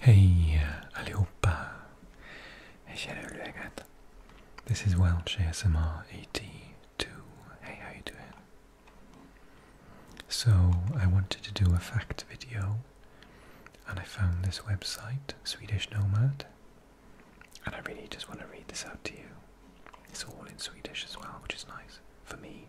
Hey allihopa! Hej kära hur läget? This is Welch smr 82. Hey, how you doing? So, I wanted to do a fact video and I found this website, Swedish Nomad, and I really just want to read this out to you. It's all in Swedish as well, which is nice for me.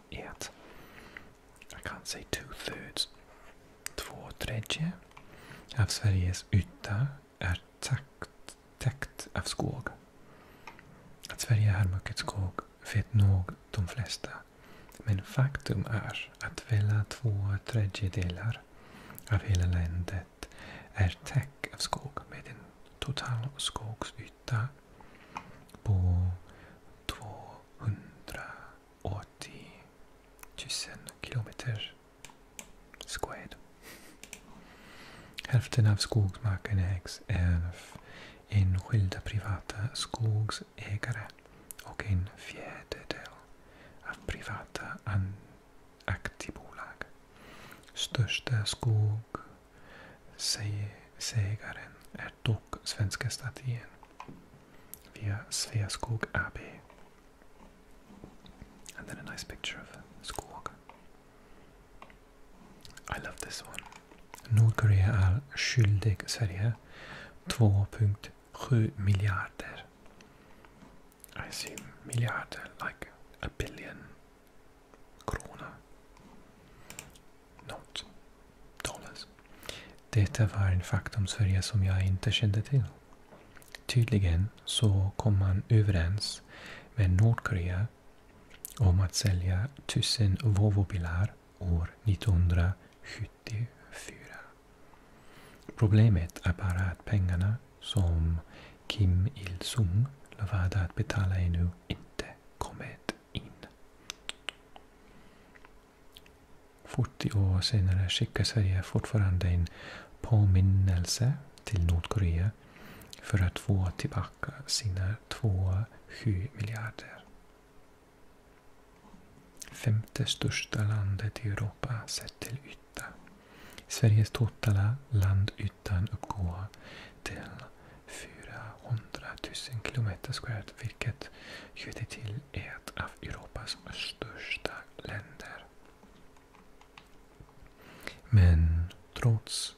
yet. I can't say two thirds. Två tredje av Sveriges yta är täckt av skog. Att Sverige har mycket skog vet nog de flesta. Men faktum är att hela två tredjedelar av hela landet är täckt av skog med en total skogsyta på 2 180 000 kilometer squared. Hälften av skogsmarken ägs av enskilda privata skogsägare och en fjärdedel av privata aktiebolag. Största skogsägaren är är dock svenska statyn via Sveaskog And then a nice picture of Skog. I love this one. Nordkorea är skyldig Sverige 2.7 miljarder. I assume miljarder, like a billion krona. något talas. Detta var en faktumsfärja som jag inte kände till. Tydligen så kom man överens med Nordkorea om att sälja 1000 Volvo-bilar år 1974. Problemet är bara att pengarna som Kim Il-Sung lovade att betala ännu inte kommit in. 40 år senare skickar Sverige fortfarande en påminnelse till Nordkorea för att få tillbaka sina 2,7 miljarder. Femte största landet i Europa sett till yta. Sveriges totala landytan uppgår till 400 000 kilometer squared vilket gjorde till ett av Europas största länder. Men trots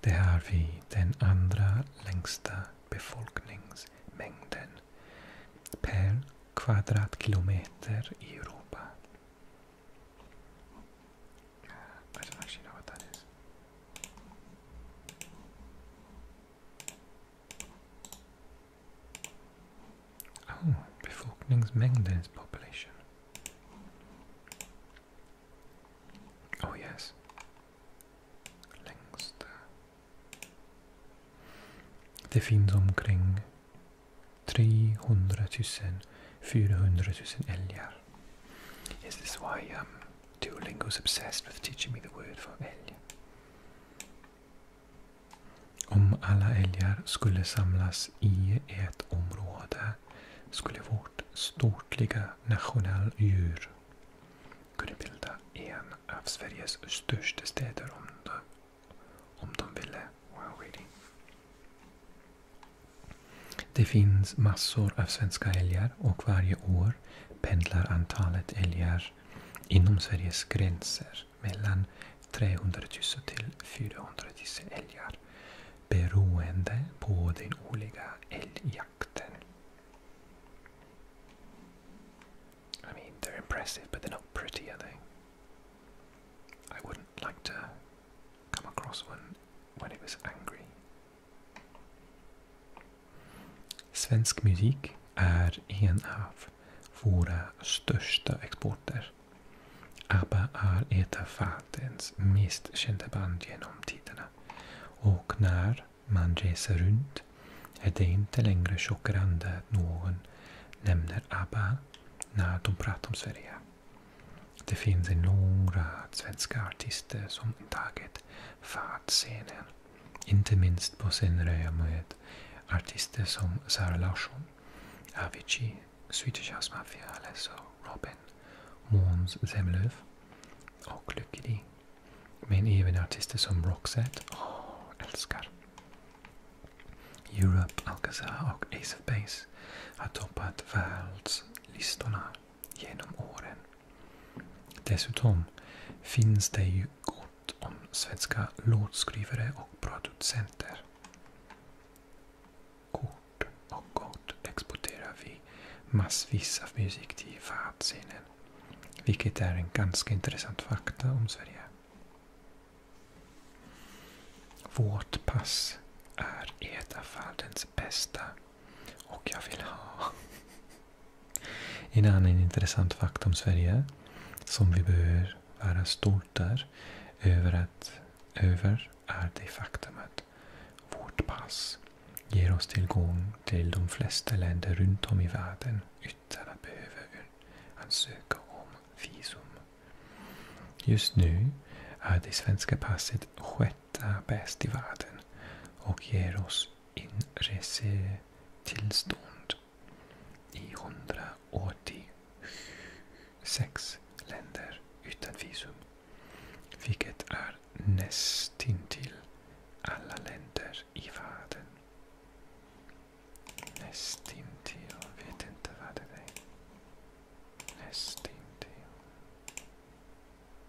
det har vi den andra längsta befolkningsmängden per kvadratkilometer i Europa. Oh, befolkningsmängden is population. Oh yes. Längst Det finns omkring 300 000, 400 000 älgar. Is this why um, Duolingo's obsessed with teaching me the word for älg. Om alla älgar skulle samlas i ett område skulle vårt stortliga nationaldjur kunna bilda en av Sveriges största städer om de, om de ville. Det finns massor av svenska älgar och varje år pendlar antalet älgar inom Sveriges gränser mellan 300 000 till 400 000 älgar beroende på den årliga älgjakten. I mean, they're impressive, but they're not pretty, are they? I wouldn't like to come across one when it was angry Svensk musik är en av våra största exporter. ABBA är ett av världens mest kända band genom tiderna. Och när man reser runt är det inte längre chockerande att någon nämner ABBA när de pratar om Sverige. Det finns en lång rad svenska artister som tagit fartscenen inte minst på scenröja med artister som Sara Larsson, Avicii, Swedish House Mafia, Alesso, Robin, Måns Zemlöf och Lykke Di. Men även artister som Roxette, åh, älskar! Europe, Alcazar och Ace of Base har toppat världslistorna genom åren. Dessutom finns det ju gott om svenska låtskrivare och producenter. Kort och gott exporterar vi massvis av musik till världsscenen. Vilket är en ganska intressant fakta om Sverige. Vårt pass är ett av världens bästa och jag vill ha en annan intressant fakta om Sverige som vi behöver vara stolta över, att, över är det faktum att vårt pass ger oss tillgång till de flesta länder runt om i världen utan att behöva ansöka om visum. Just nu är det svenska passet sjätte bäst i världen och ger oss inresetillstånd i 186 länder utan visum. Vilket är nästintill alla länder i världen. Nästintill, jag vet inte vad det är. Nästintill.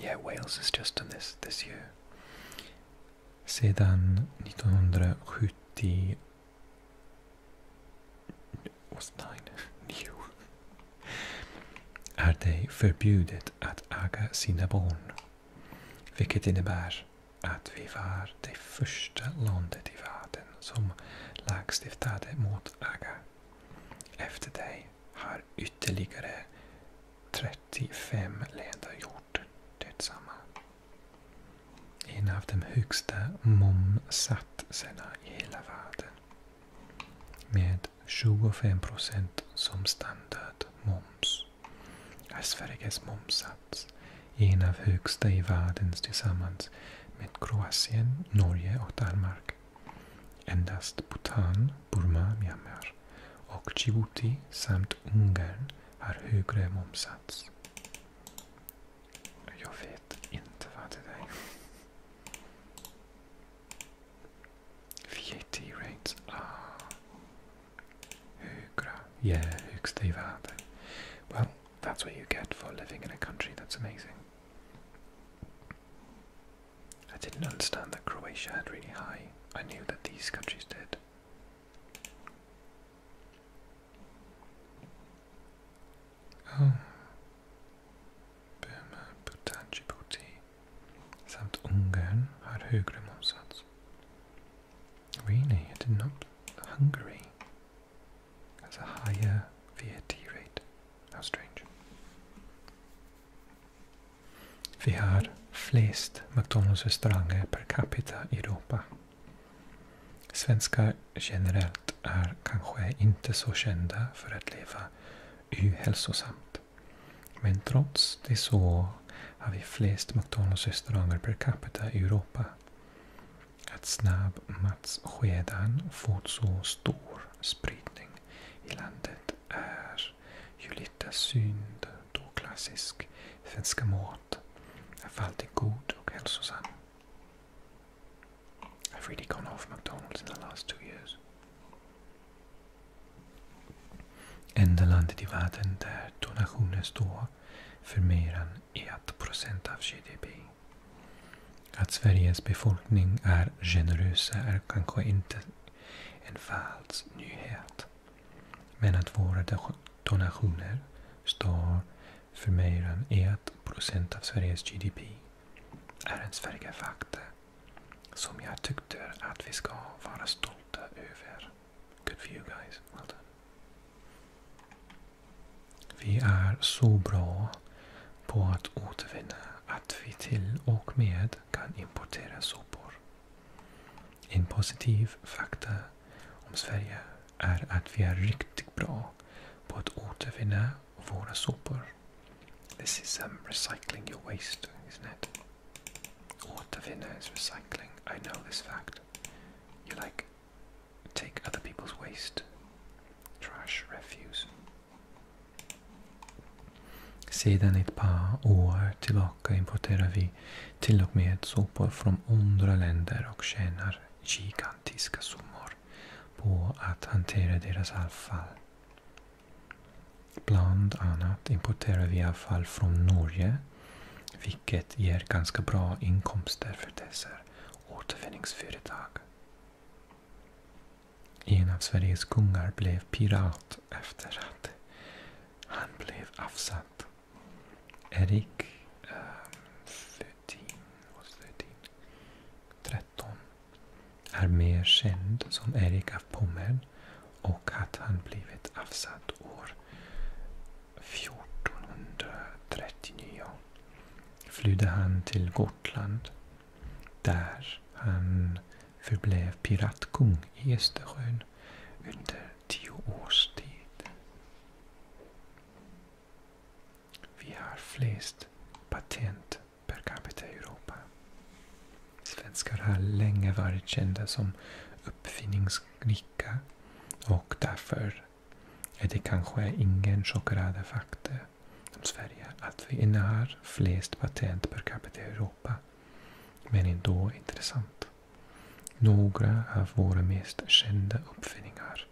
Yeah, Wales has just done this this year. Sedan 1970... Är det förbjudet att äga sina barn. Vilket innebär att vi var det första landet i världen som lagstiftade mot aga. Efter dig har ytterligare 35 länder gjort detsamma. En av de högsta momsatserna i hela världen. Med 25 procent som standardmoms är Sveriges momssats en av högsta i världen tillsammans med Kroatien, Norge och Danmark. Endast Bhutan, Burma, Myanmar och Djibouti samt Ungern har högre momsats. Jag vet inte vad det är. VAT rates. Ah. Högra. Yeah, högsta i världen. Well, that's what you get for living in a country that's amazing. I didn't understand that Croatia had really high. I knew that these countries did. Oh. Burma, Bhutan, Djibouti samt Ungern har högre momsats. Really? I did not... Hungary has a higher VAT rate. How strange. Vi har flest McDonalds-restauranger per capita i Europa. Svenskar generellt är kanske inte så kända för att leva ohälsosamt. Men trots det så har vi flest McDonalds-restauranger per capita i Europa. Att snabbmatskedjan fått så stor spridning i landet är ju lite synd då klassisk finska mat är alltid god och hälsosam. I've really gone off McDonalds in the last two years. Enda landet i världen där donationer står för mer än 1% av GDP. Att Sveriges befolkning är generösa är kanske inte en falsk nyhet. Men att våra donationer står för mer än 1% av Sveriges GDP är en Sverigefakta som jag tyckte att vi ska vara stolta över. Good for you guys. Well done. Vi är så bra på att återvinna att vi till och med kan importera sopor. om Sverige är att vi är riktigt bra på återvinna våra sopor. This is um, recycling your waste, isn't it? Återvinna is recycling. I know this fact. You like take other people's waste, trash, refuse, Sedan ett par år tillbaka importerar vi till och med sopor från andra länder och tjänar gigantiska summor på att hantera deras avfall. Bland annat importerar vi avfall från Norge, vilket ger ganska bra inkomster för dessa återvinningsföretag. En av Sveriges kungar blev pirat efter att han blev avsatt. Erik Flutin, eh, um, är mer känd som Erik av Pommern och att han blivit avsatt år 1439 flydde han till Gotland där han förblev piratkung i Östersjön under tio års tid. Vi har flest patent per capita i Europa. Svenskar har länge varit kända som uppfinningsrika och därför är det kanske ingen chockerande fakta som Sverige att vi innehar flest patent per capita i Europa. Men ändå intressant. Några av våra mest kända uppfinningar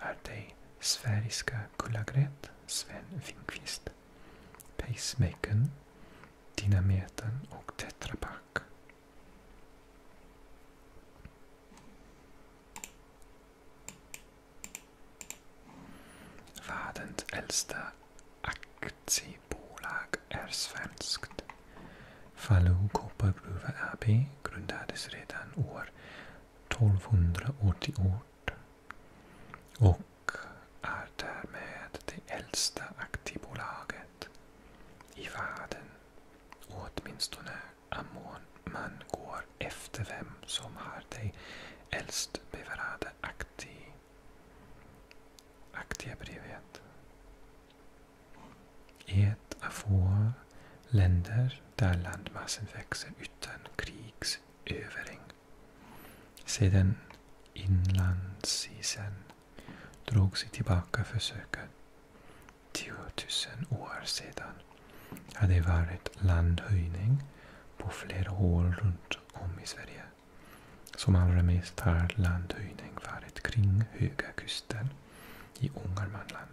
är de sveriska kullagret Sven Finkvist, pacemakern, dynameten och tetrapack. Världens äldsta aktiebolag är svenskt. Falu koppargruva AB grundades redan år 1288 och är därmed det äldsta aktiebolaget i världen. Åtminstone om man går efter vem som har det äldst bevarade aktiebolagen Aktiebrevet. Ett av få länder där landmassen växer utan krigsövring. Sedan inlandsisen drog sig tillbaka försöket 10 000 år sedan hade varit landhöjning på flera håll runt om i Sverige. Som allra mest har landhöjning varit kring Höga kusten i Ångermanland.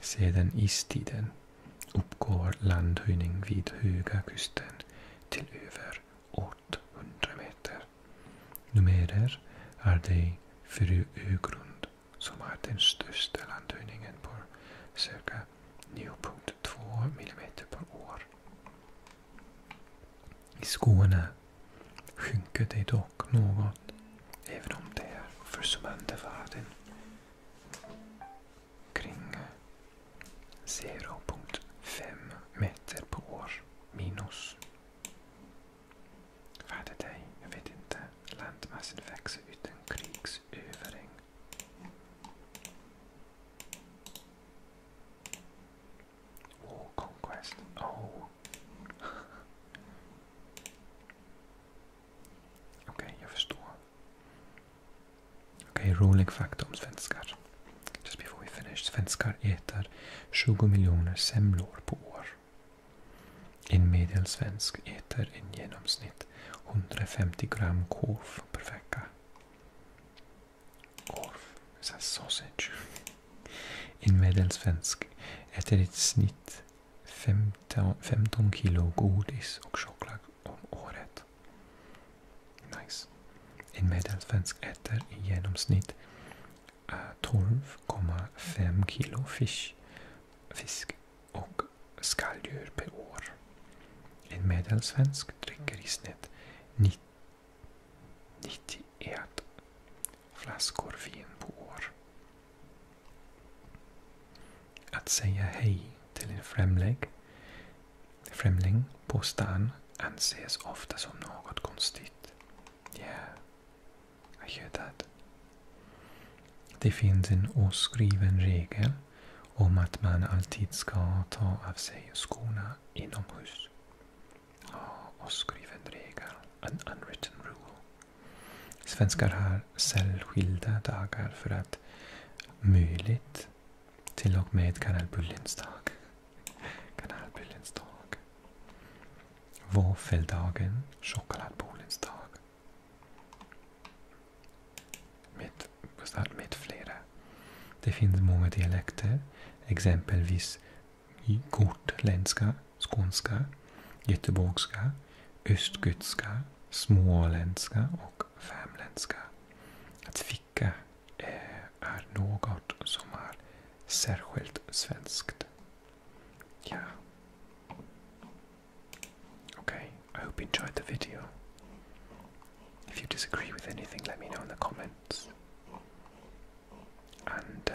Sedan istiden uppgår landhöjning vid Höga kusten till över 800 meter. Numerer är det Fru Ögrund som har den största landhöjningen på cirka 9.2 mm per år. I Skåne sjunker det dock något, även om det är försummande värden. Kring 0.5 meter per år minus. Vad är det? Jag vet inte. Landmassen växer utan krigsövring. Oh. Okej, jag förstår. Okej, okay, rolig fakta om svenskar. Just before we finish. Svenskar äter 20 miljoner semlor på år. En medelsvensk äter i genomsnitt 150 gram korv per vecka. Korv. Sen sausage. En medelsvensk äter i snitt 15, 15 kilo godis och choklad om året. Nice. En medelsvensk äter i genomsnitt 12,5 eh, kilo fisk, fisk och skalldjur per år. En medelsvensk dricker i snitt 91 flaskor vin på år. Att säga hej till en främling, främling på stan anses ofta som något konstigt. Yeah, I hear that. Det finns en oskriven regel om att man alltid ska ta av sig skorna inomhus. Och skriven regel, en unwritten rule. Svenskar har särskilda dagar för att möjligt till och med kanalbullens dag. Kanalbullens dag. Våffeldagen, chokladbullens dag. Med, med flera. Det finns många dialekter, exempelvis gotländska, skånska, göteborgska, östgötska, småländska och värmländska. Att ficka eh, är något som är särskilt svenskt. Ja. Okej. Okay. I hope you enjoyed the video. If you disagree with anything, let me know in the comments. And uh,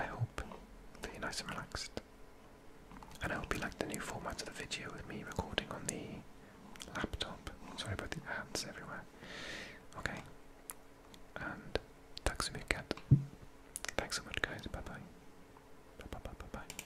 I hope you're nice and relaxed. And I hope you like the new format of the video with me recording on the laptop. Sorry about the ads everywhere. Okay. And tack så mycket. Thanks so much guys. Bye bye. Bye bye bye bye. bye.